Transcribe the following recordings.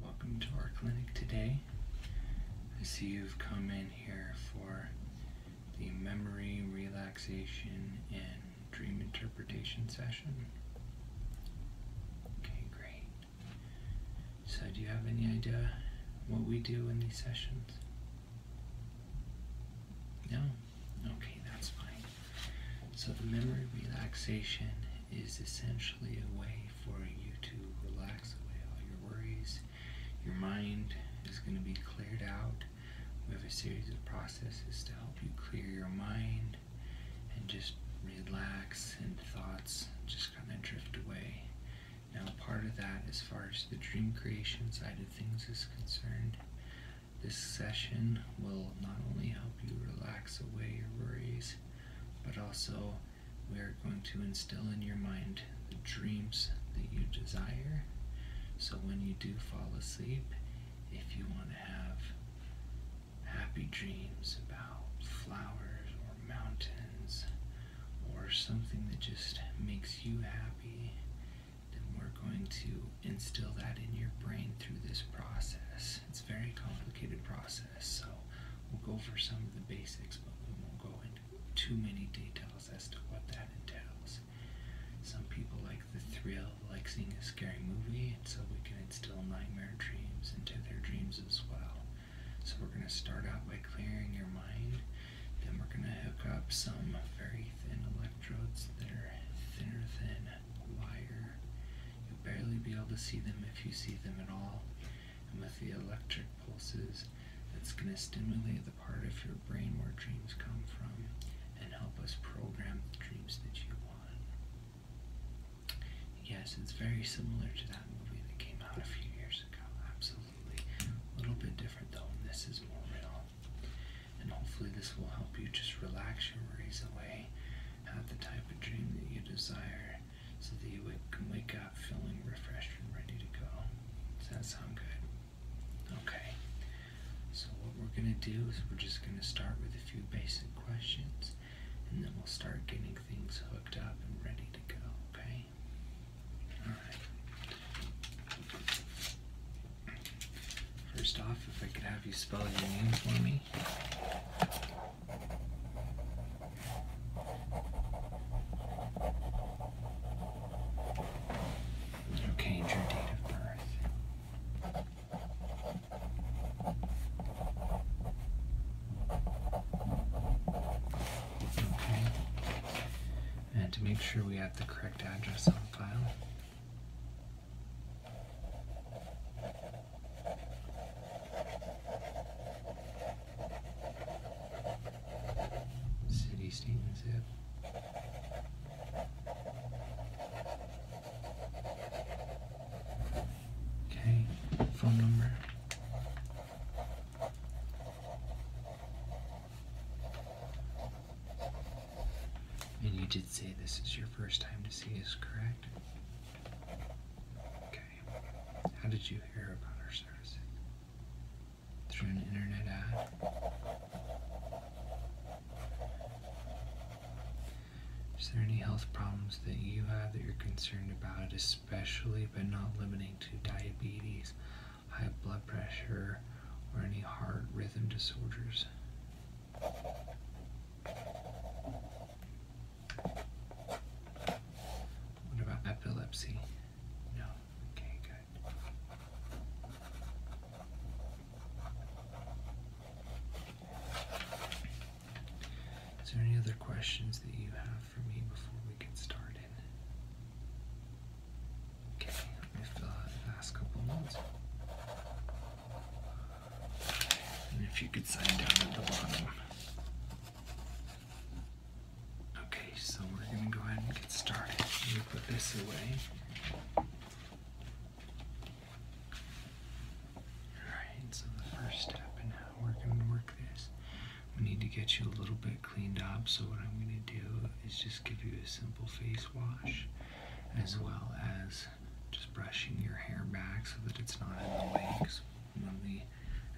Welcome to our clinic today. I see you've come in here for the memory relaxation and dream interpretation session. Okay, great. So, do you have any idea what we do in these sessions? No? Okay, that's fine. So, the memory relaxation is essentially a way for you to relax away all your worries. Your mind is going to be cleared out. We have a series of processes to help you clear your mind and just relax and thoughts just kind of drift away. Now part of that as far as the dream creation side of things is concerned, this session will not only help you relax away your worries, but also we are going to instill in your mind the dreams that you desire. So when you do fall asleep, if you want to have happy dreams about flowers or mountains or something that just makes you happy, then we're going to instill that in your brain through this process. It's a very complicated process. So we'll go over some of the basics, but we won't go into too many details as to what that entails. Some people like the thrill, like seeing a scary movie, and so we can instill nightmare dreams into their dreams as well. So we're going to start out by clearing your mind, then we're going to hook up some very thin electrodes that are thinner than wire You'll barely be able to see them if you see them at all. And with the electric pulses, that's going to stimulate the part of your brain where dreams come from and help us program the dreams that you want. Yes, it's very similar to that movie that came out a few years ago. Absolutely. A little bit different though, this is more real. And hopefully, this will help you just relax your worries away, have the type of dream that you desire, so that you can wake up feeling refreshed and ready to go. Does that sound good? Okay. So what we're going to do is we're just going to start with a few basic questions and then we'll start getting things hooked up and ready to go, okay? Alright. First off, if I could have you spell your name for me. Okay, date of birth. Okay. And to make sure we have the correct address on file. City statement zip. Okay, phone number. And you did say this is your first time to see us, correct? Okay. How did you hear about our services? Through an internet ad? Is there any health problems that you have that you're concerned about, especially but not limiting to diabetes, high blood pressure, or any heart rhythm disorders? What about epilepsy? No. Okay, good. Is there any other questions that you have for me before we get started? Okay, let me fill out the last couple notes. And if you could sign down at the bottom. Okay, so we're going to go ahead and get started. i put this away. Alright, so the first step in we're going to work this, we need to get you a little bit cleaned up. So, what I'm going to do is just give you a simple face wash as well as just brushing your hair back so that it's not in the way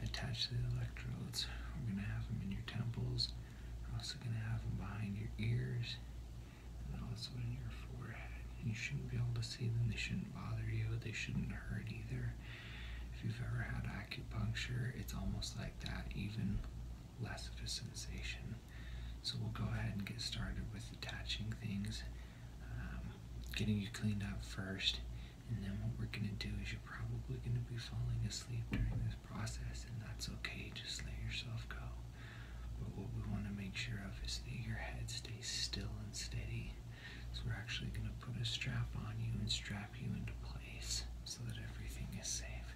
attached to the electrodes. We're going to have them in your temples. We're also going to have them behind your ears and also in your forehead. You shouldn't be able to see them. They shouldn't bother you. They shouldn't hurt either. If you've ever had acupuncture, it's almost like that, even less of a sensation. So we'll go ahead and get started with attaching things, um, getting you cleaned up first, and then what we're gonna do is you're probably gonna be falling asleep during this process, and that's okay, just let yourself go. But what we wanna make sure of is that your head stays still and steady. So we're actually gonna put a strap on you and strap you into place so that everything is safe.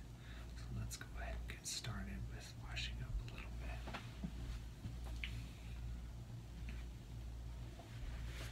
So let's go ahead and get started with washing up a little bit.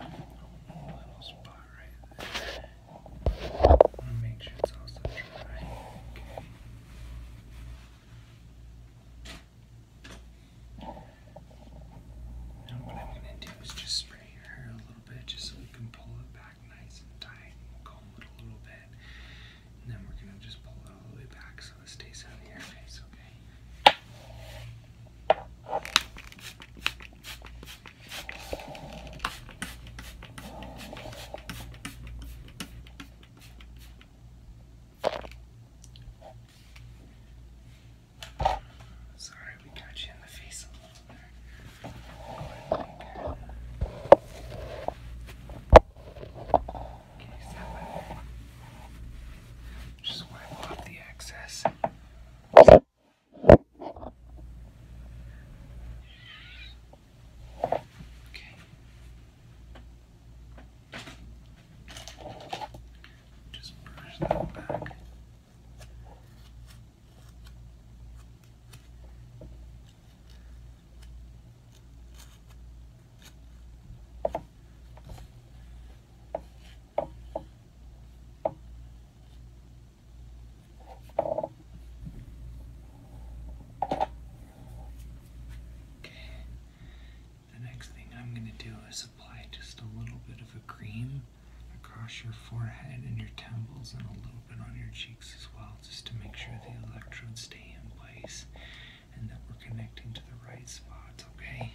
Now what I'm going to do is just spray your hair a little bit just so we can pull it back nice and tight comb it a little bit. And then we're going to just pull it all the way back so it stays on the air Sorry, we got you in the face a little there. Okay, so just wipe off the excess. Just brush that back. The next thing I'm going to do is apply just a little bit of a cream across your forehead and your temples and a little bit on your cheeks as well, just to make sure the electrodes stay in place and that we're connecting to the right spots, okay?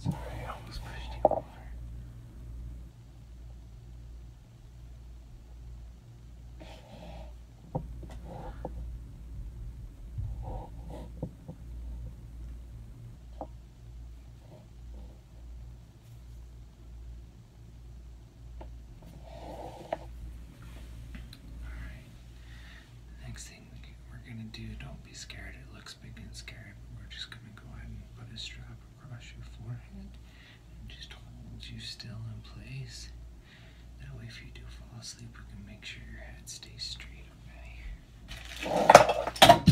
Sorry, I almost pushed you over. Next thing we're gonna do, don't be scared, it looks big and scary, but we're just gonna go ahead and put a strap across your forehead and just hold you still in place. That way, if you do fall asleep, we can make sure your head stays straight, okay?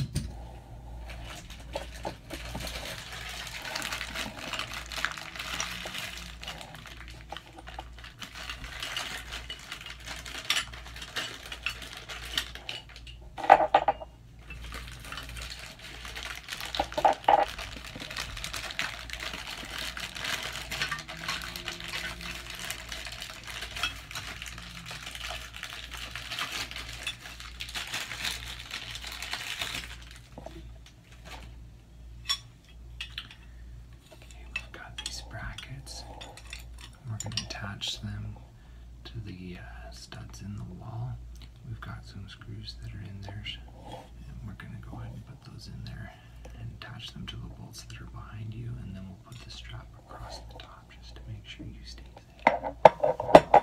we've got these brackets. We're going to attach them to the uh, studs in the wall. We've got some screws that are in there, and we're going to go ahead and put those in there and attach them to the bolts that are behind you, and then we'll put the strap across the top just to make sure you stay safe.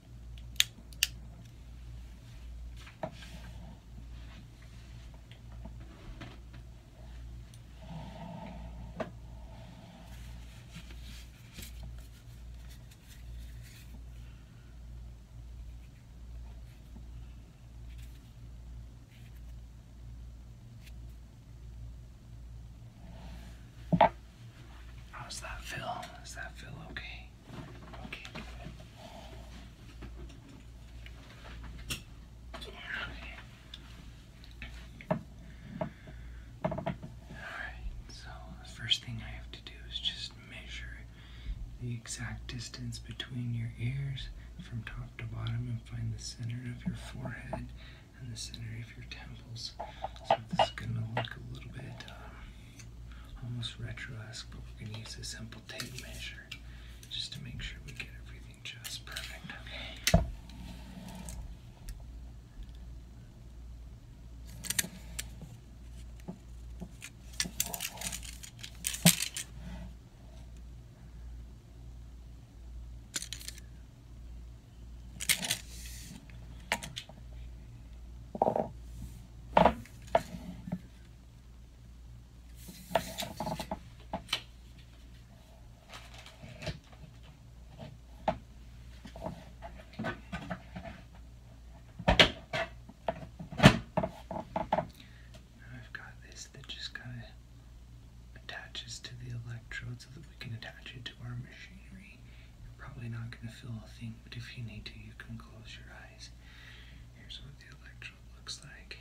How's that feel? Does that feel okay? first thing I have to do is just measure the exact distance between your ears from top to bottom and find the center of your forehead and the center of your temples. So this is going to look a little bit um, almost retro-esque, but we're gonna use a simple tape measure just to make sure we get everything just perfect. Okay. I've got this that just kind of attaches to the electrode so that we can attach it to our machinery. You're probably not going to feel a thing, but if you need to, you can close your eyes. Here's what the electrode looks like.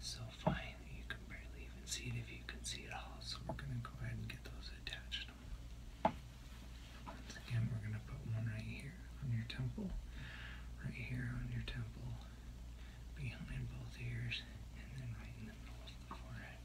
It's so fine that you can barely even see it if you can see it all. So we're going to go ahead and get those attached. Once again, we're going to put one right here on your temple, right here on your temple, behind both ears, and then right in the middle of the forehead.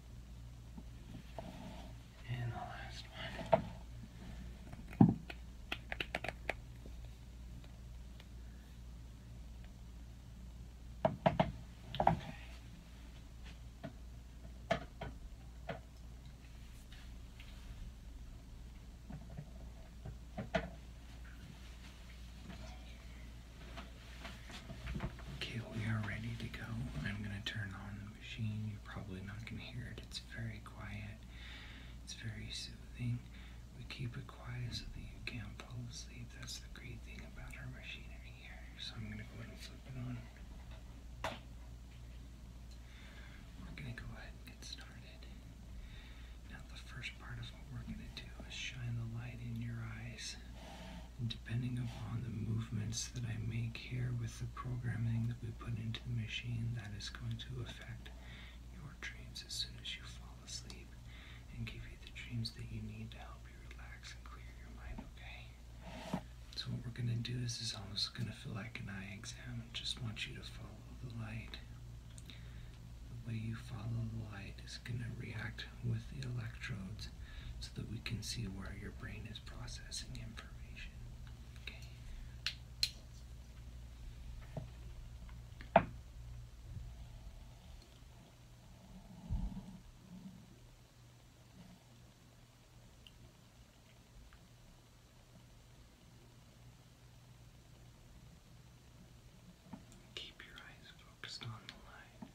And the last one. Okay. Okay. Okay, we are ready to go. I'm going to turn on the machine. You're probably not going to hear it. It's very quiet. It's very soothing. We keep it quiet so that you can't fall asleep. That's the great thing about our machinery here. So I'm going to go ahead and flip it on. We're going to go ahead and get started. Now the first part of what we're going to do is shine the light in your eyes depending upon the movements that I make here with the programming that we put into the machine, that is going to affect your dreams as soon as you fall asleep and give you the dreams that you need to help you relax and clear your mind, okay? So what we're going to do is it's almost going to feel like an eye exam. just want you to follow the light. The way you follow the light is going to react with the electrodes so that we can see where your brain is processing information. Okay. Keep your eyes focused on the light.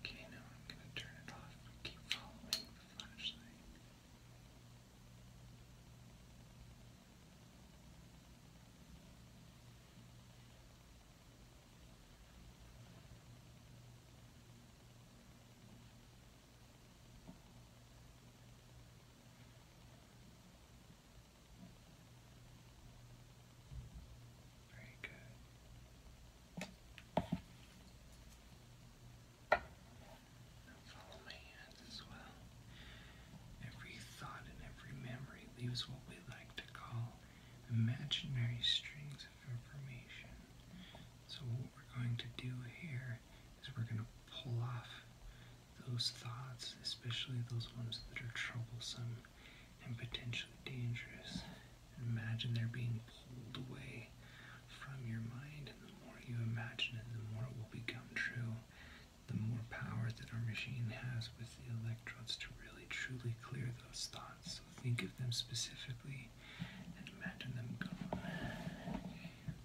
Okay, now I'm going to turn it off and keep following the flashlight. Okay, very good. Now follow my hands as well. Every thought and every memory leaves what we like to call imaginary strings of information. So, what we're going to do here is is we're going to pull off those thoughts, especially those ones that are troublesome and potentially dangerous. Imagine they're being pulled away from your mind, and the more you imagine it, the more it will become true. The more power that our machine has with the electrodes to really truly clear those thoughts. So think of them specifically and imagine them gone.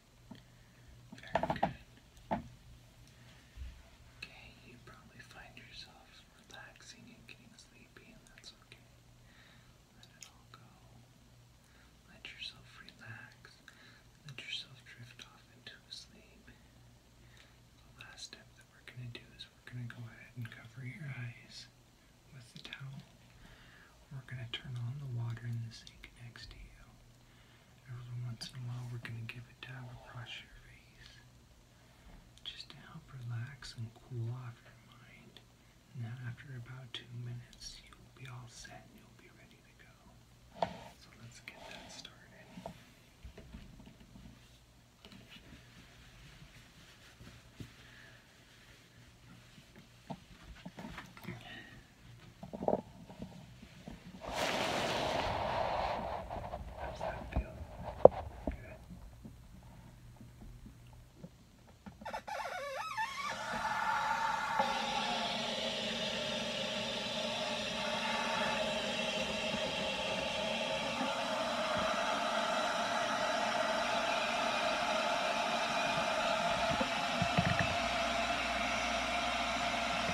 Very good. Okay, you probably find yourself relaxing and getting sleepy, and that's okay. Let it all go. Let yourself relax. Let yourself drift off into a sleep. The last step that we're going to do is we're going to go ahead and cover your eyes with the towel. We're going to turn on the water in the sink next to you. Every once in a while, we're going to give a dab across face just to help relax and cool off your mind. And then, after about two minutes, you'll be all set and you'll be ready to go. So, let's get that started. How does that feel? Good.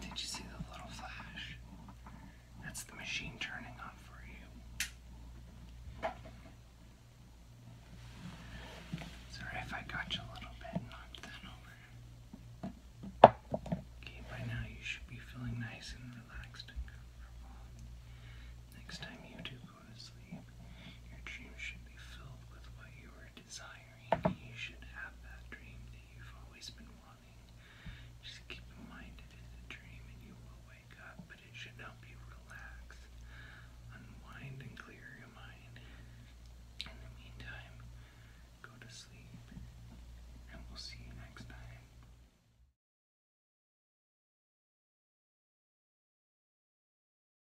Did you see the little flash? That's the machine turning on for you. Sorry if I got you a little bit knocked that over. Okay, by now you should be feeling nice and relaxed and comfortable. Next time you do go to sleep. Your dreams should be filled with what you are desiring. You should have that dream that you've always been wanting. Just keep in mind it is a dream and you will wake up, but it should help you relax, unwind, and clear your mind. In the meantime, go to sleep, and we'll see you next time.